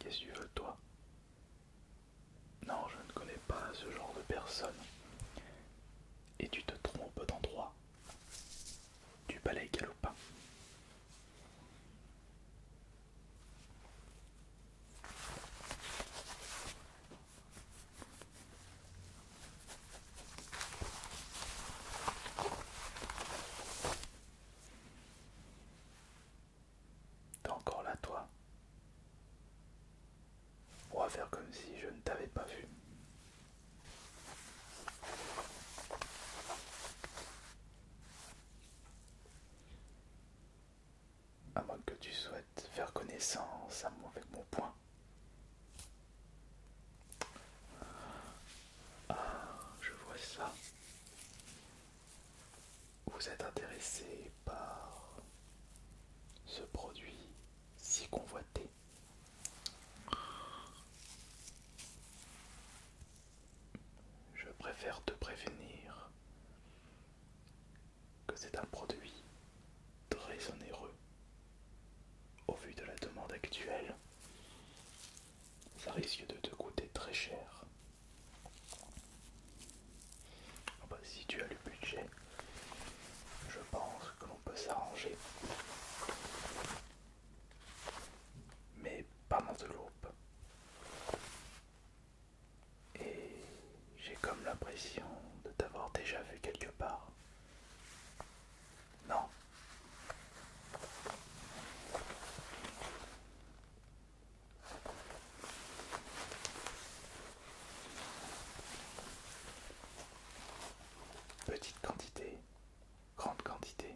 Qu'est-ce que tu veux toi Non, je ne connais pas ce genre de personne. Et tu te trompes d'endroit du balai galopin. encore là, toi On va faire comme si je ne t'avais pas vu. À moins que tu souhaites faire connaissance avec mon point Ah, je vois ça. Vous êtes intéressé par ce produit si convoité. Je préfère te prévenir que c'est un produit très onéreux. Au vu de la demande actuelle, ça risque de te coûter très cher. Ah bah, si tu as le budget, je pense que l'on peut s'arranger mais pas dans loup. Et j'ai comme l'impression de t'avoir déjà vu quelque part. Non. Petite quantité grande quantité.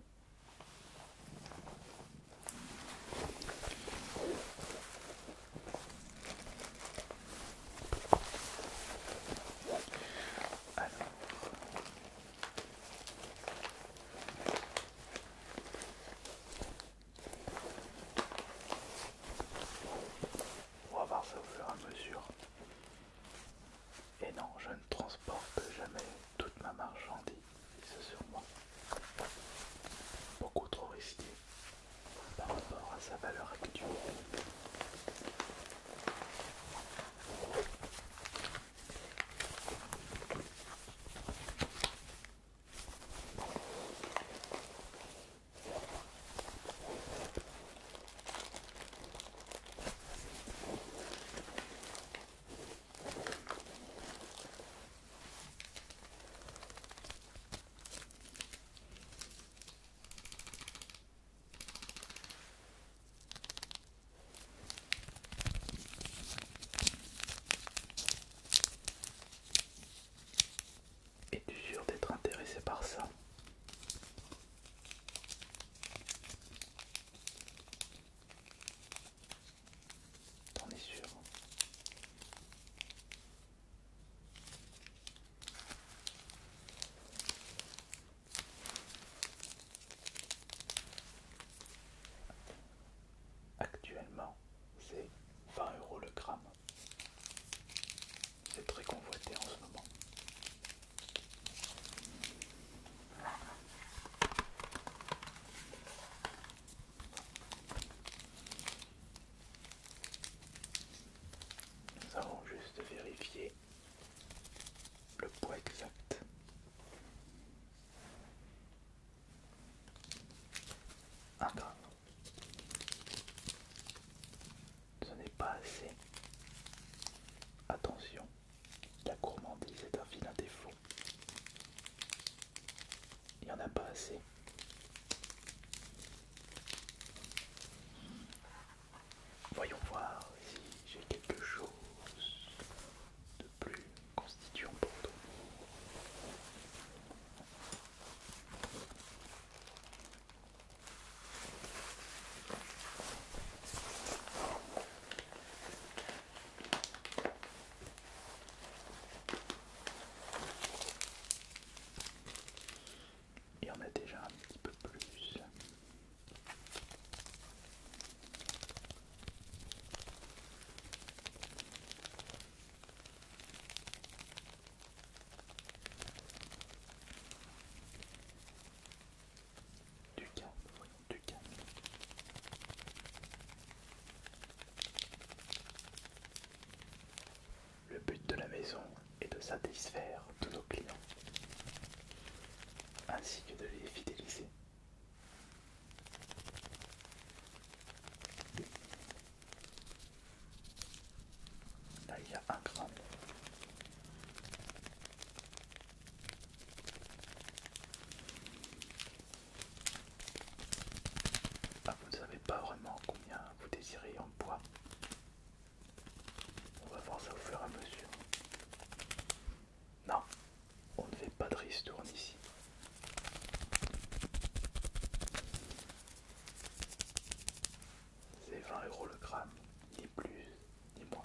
On va voir ça au fur et à mesure. Et non, je ne transporte jamais toute ma marchandise sur moi. Beaucoup trop risqué par rapport à sa valeur actuelle. Es-tu sûr d'être intéressé par ça on est sûr Actuellement, c'est 20 euros le gramme. C'est très convoité en ce moment. Nous allons juste vérifier le poids exact. Un gramme. Ce n'est pas assez. Attention. La gourmandise est un fil d'un défaut. Il n'y en a pas assez. Voyons voir si j'ai quelque chose de plus constituant pour toi. Il y en a déjà un petit peu plus. Du cas voyons, du Le but de la maison est de satisfaire tous nos clients, ainsi que de les fidéliser. Là, il y a un grand. Ah, vous ne savez pas vraiment combien vous désirez en poids. On va voir ça au fur et à mesure. Non, on ne fait pas de ristourne ici. C'est 20 euros le gramme, ni plus ni moins.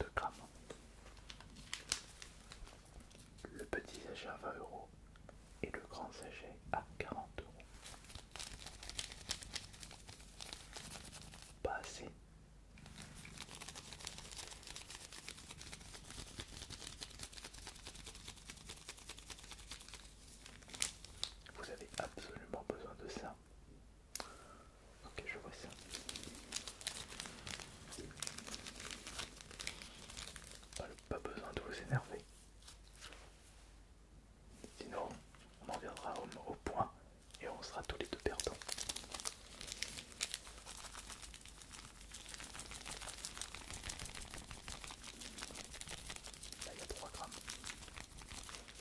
2 Le petit sachet à 20 euros et le grand sachet à 40 euros. Pas vous avez absolument besoin de ça. Ok, je vois ça. Ah, pas besoin de vous énerver. Sinon, on en viendra au, au point et on sera tous les deux perdants. Là, il y a 3 grammes.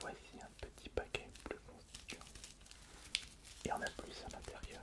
Voici un petit paquet plus constituant. Et en a plus à l'intérieur.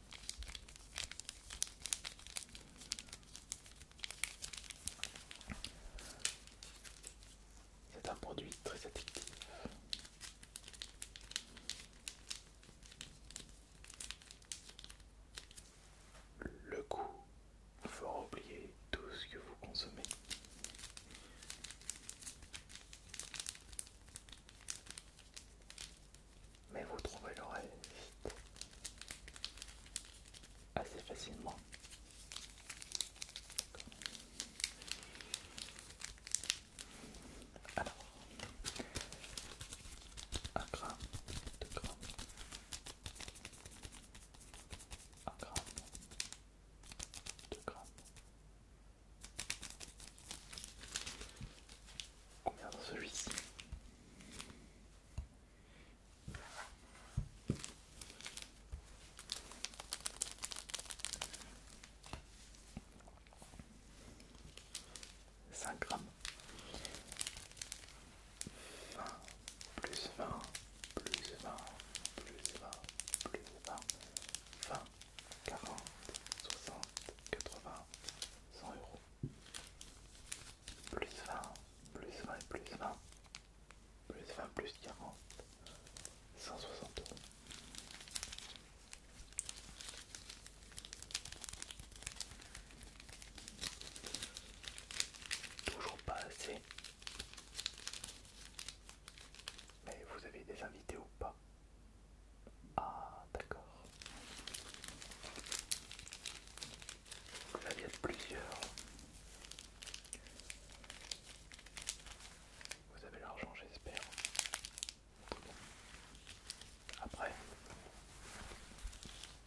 C'est un produit très addictif. Le goût fera oublier tout ce que vous consommez mais vous trouvez l'oreille vite, assez facilement. Alors, gramme, Combien dans celui-ci 5 grammes. 20 plus 20 plus 20 plus 20 plus 20 20 40 60 80 100 euros plus 20, plus 20 plus 20, plus 20, plus 40, 160 Toujours pas assez. Mais vous avez des invités ou pas ah, d'accord. Là, il y a plusieurs. Vous avez l'argent, j'espère. Après,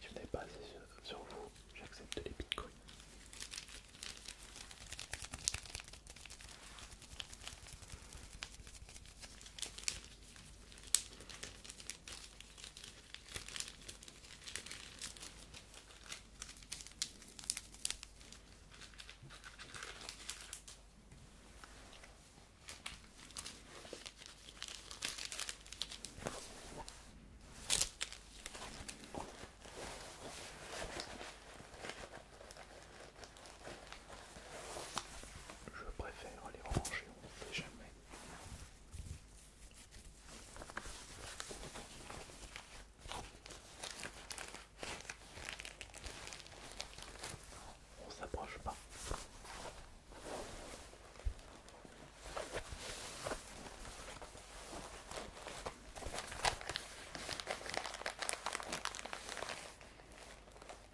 je n'ai pas assez sur vous, j'accepte les bitcoins. Je préfère les ranger on ne sait jamais. On ne s'approche pas.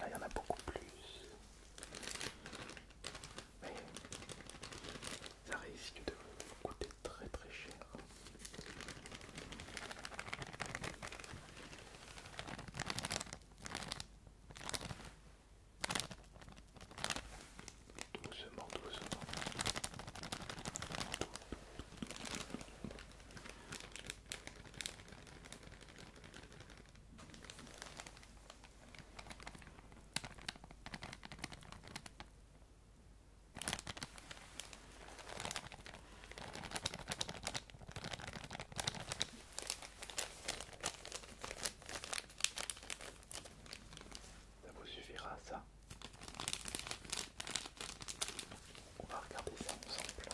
Ah, il y en a beaucoup plus. Mais ça risque de coûter très très cher doucement, doucement. Ça vous suffira ça on va regarder ça ensemble.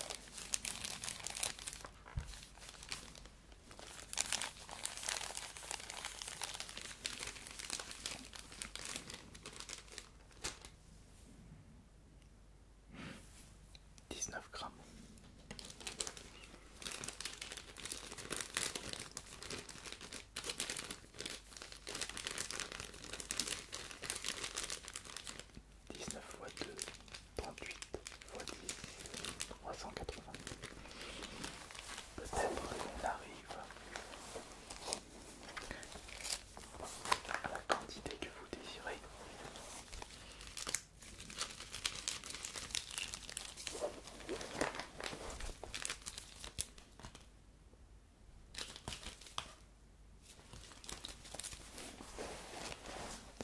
Dix-neuf grammes. 19 fois 2, 38 fois 10, 380. Peut-être arrive à la quantité que vous désirez.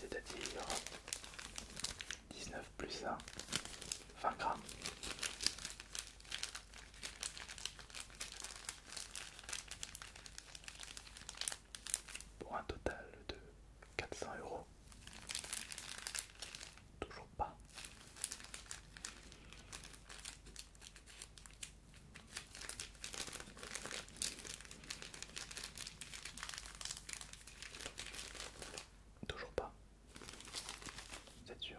C'est-à-dire 19 plus 1, 20 grammes. Pour un total de 400 euros. Toujours pas. Toujours pas. C'est sûr.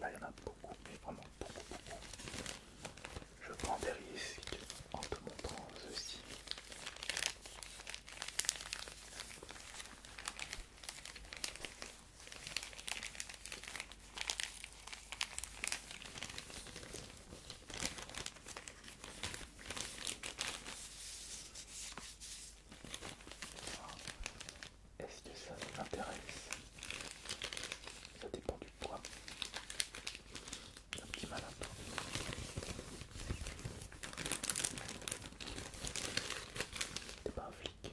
Là, il y en a beaucoup, mais vraiment beaucoup, beaucoup. Je prends des risques en te montrant ceci. Ah. Est-ce que ça m'intéresse Ça dépend du poids. Un petit malin. T'es pas un flic.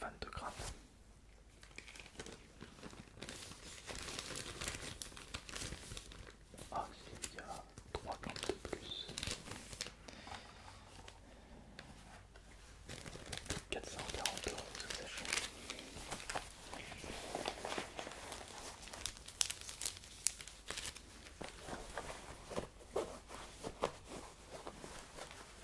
22 grammes. Ah, il y a 3 grammes de plus. 440 euros ce sachet.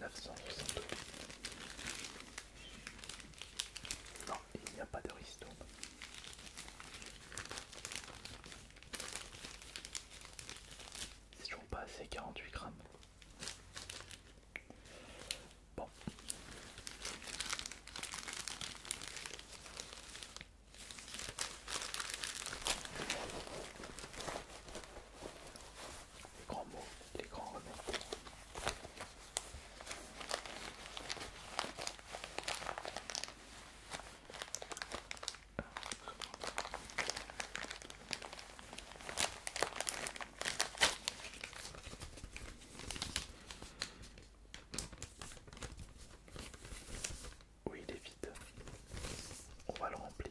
900 Non, il n'y a pas de ristourne. C'est toujours pas assez 48 grammes. Bon les grands mots, les grands Oui, il est vide. On va le remplir.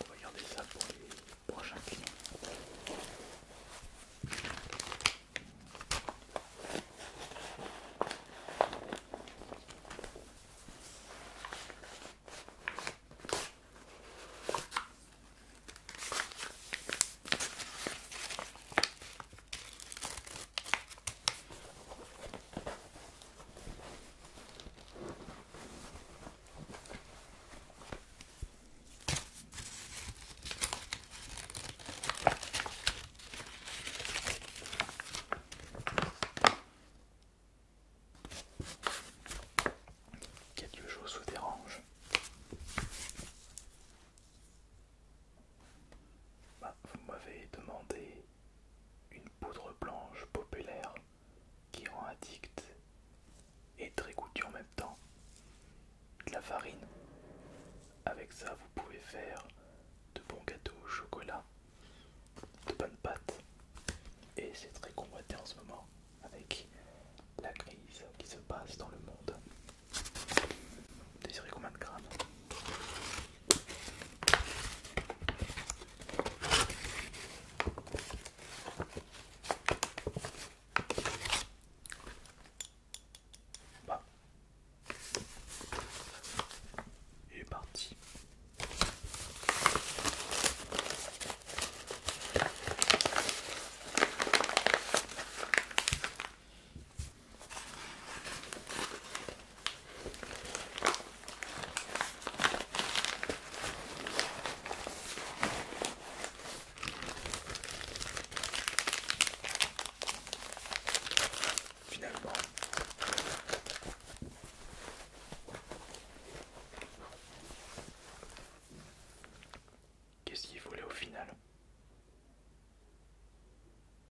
On va regarder ça pour les prochains clients. Quelque chose vous dérange bah, vous m'avez demandé une poudre blanche populaire qui rend addict et très goûteux en même temps. De la farine. Avec ça, vous pouvez faire de bons gâteaux au chocolat, de bonnes pâtes. Et c'est très convoité en ce moment avec la crise qui se passe dans le monde. Vous désirez combien de grammes et bah. est parti. Finalement, qu'est-ce est volé au final